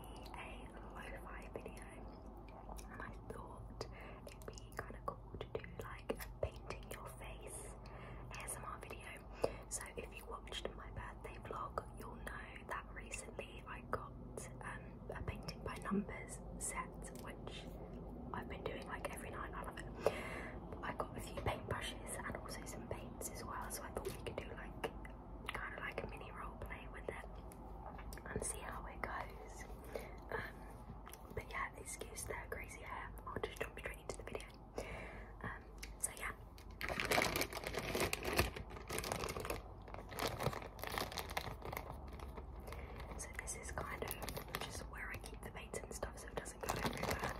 a lo-fi video and I thought it'd be kind of cool to do like painting your face ASMR video. So if you watched my birthday vlog, you'll know that recently I got um, a painting by numbers set, which I've been doing like every night, out of it. I got a few paintbrushes and also some paints as well, so I thought we could do like kind of like a mini role play with it and see how it goes. Um, but yeah, excuse the crazy hair. I'll just jump straight into the video. Um, so yeah. So this is kind of just where I keep the baits and stuff so it doesn't go everywhere.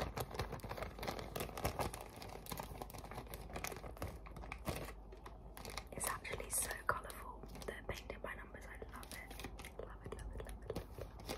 It's actually so colourful. they They're painted by numbers, I love it. Love it, love it,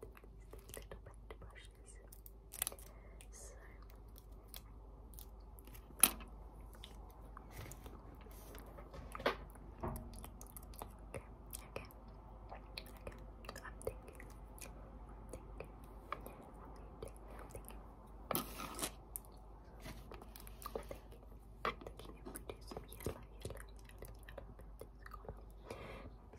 little bit Okay, okay, okay. I'm thinking. i thinking. thinking. thinking. thinking. thinking yellow, yellow, yellow,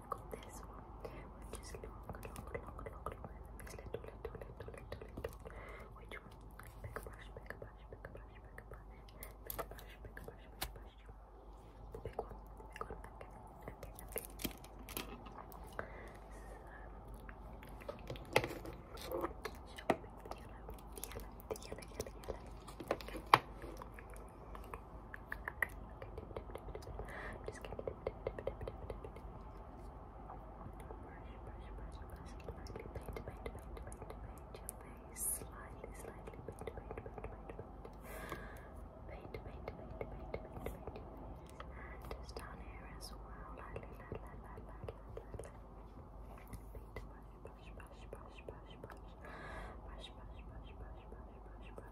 got this one, which is long, long, long, long, long, and this little, little, little, little, little, which one? Big brush, big brush, big brush, big brush, big brush, big brush, big brush, the big one, the big one, okay, okay, okay. So, shall we pick the yellow, the yellow, the yellow, yellow, yellow, okay. Just gonna brush, brush, brush, brush, paint, paint, paint, paint, paint your face, slightly, slightly, paint, paint, paint, paint, paint, paint, paint, paint, paint, paint, paint, paint your face, and just down here as well, lightly, lightly, lightly, lightly, lightly, paint, brush, brush, brush, brush, brush, brush, brush, brush, brush, brush, brush, brush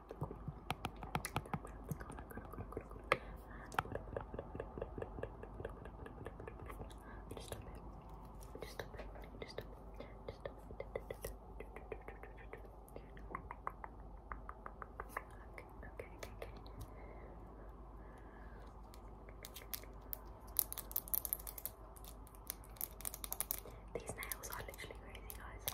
just stop it. Just stop it. Just stop Just stop These nails are literally crazy, guys.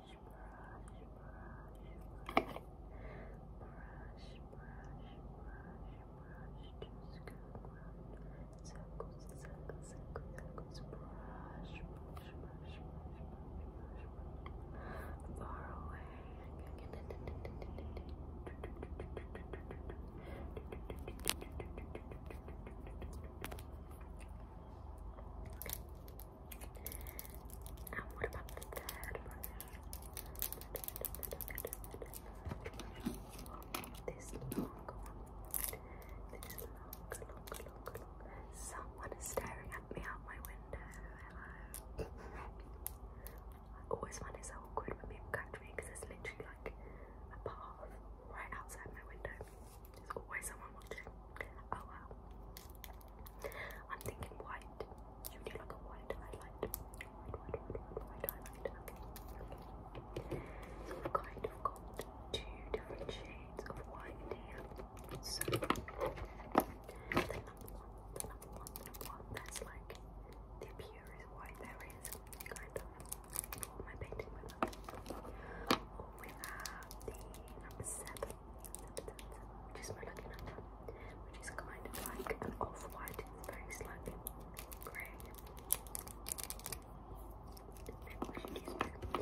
brush, brush, to scoop around circles, circles, circles, circles, brush, brush, brush, brush, brush, far away. Okay. And ah, what about the third brush? This long This long, long, long, long. Someone is staring at me out my window. Hello. I always find it so awkward when people come to me because there's literally like a path right outside my window. There's always someone watching. Oh wow. I'm thinking white. You do like a white highlight. White, white, white, white, highlight. Okay. So we've kind of got two different shades of white here. So the number one, the number one, the number one, that's like the purest white there is, kind of. What am I painting with? Or we have the number seven, which is my lucky number, which is kind of like an off-white, it's very slightly grey. we should use the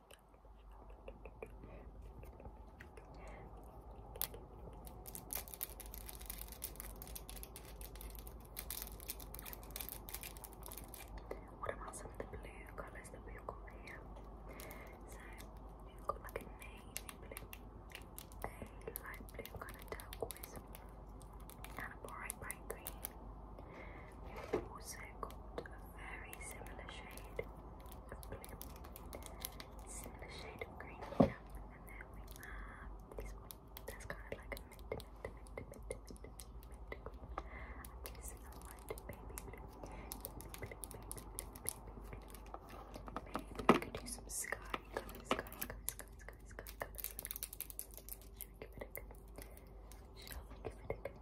What about some of the blue colours that we've got here? So we've got like a navy blue, a light blue kind of turquoise, and a bright bright green. We've also got a very similar shade similar shade of green and then this one that's kind of like a mint, mint, mint, mint, mint, mint, mint, and this is baby blue, baby blue, baby blue, baby blue, baby blue. Maybe we could do some sky colours, sky colours, sky colours, sky colours. Should we give it a go? Shall we give it a go?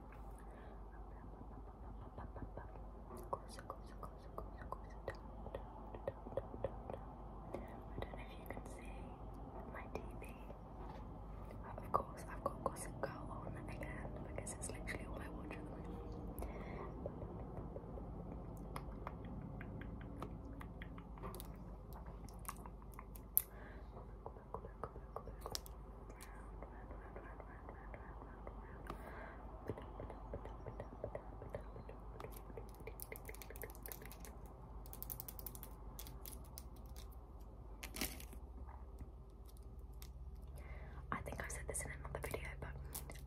Closer, closer, closer, closer, closer, down, down, down, down, down, down. I don't know if you can see my TV. of course, I've got Gossip Girl on again because it's literally all I watch at the I think I said this in another video, but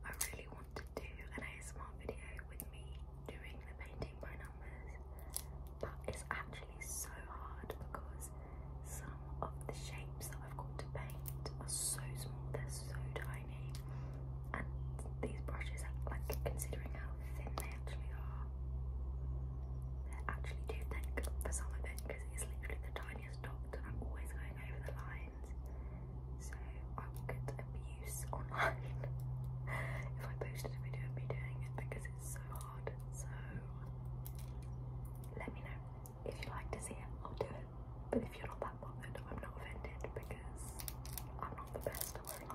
I really want to do an ASMR video with me doing the painting by numbers, but it's actually actually so hard because some of the shapes that I've got to paint are so small, they're so tiny, and these brushes, are, like considering how thin they actually are, they actually too thick for some of it because it's literally the tiniest dot, and I'm always going over the lines, so I will abuse online if I posted a video of me doing it because it's so let me know if you like to see it. I'll do it. But if you're not that bothered, I'm not offended because I'm not the best. at won't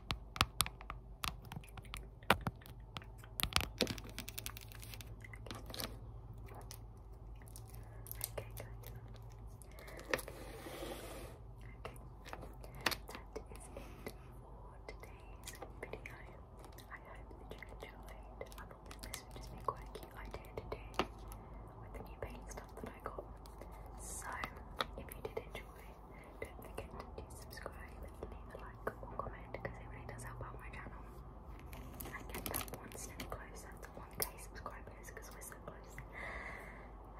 video. I hope you enjoyed. this would just be quite a cute idea to with the new paint stuff that I got. So if you did enjoy don't forget to subscribe leave a like or comment because it really does help out my channel. I get that one step closer to one subscribers because we're so close.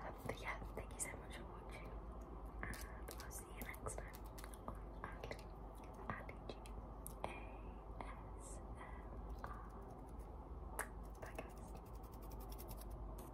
Um, but yeah, thank you so much for watching, and I'll see you next time Ali, Ali G A S M R. Bye guys.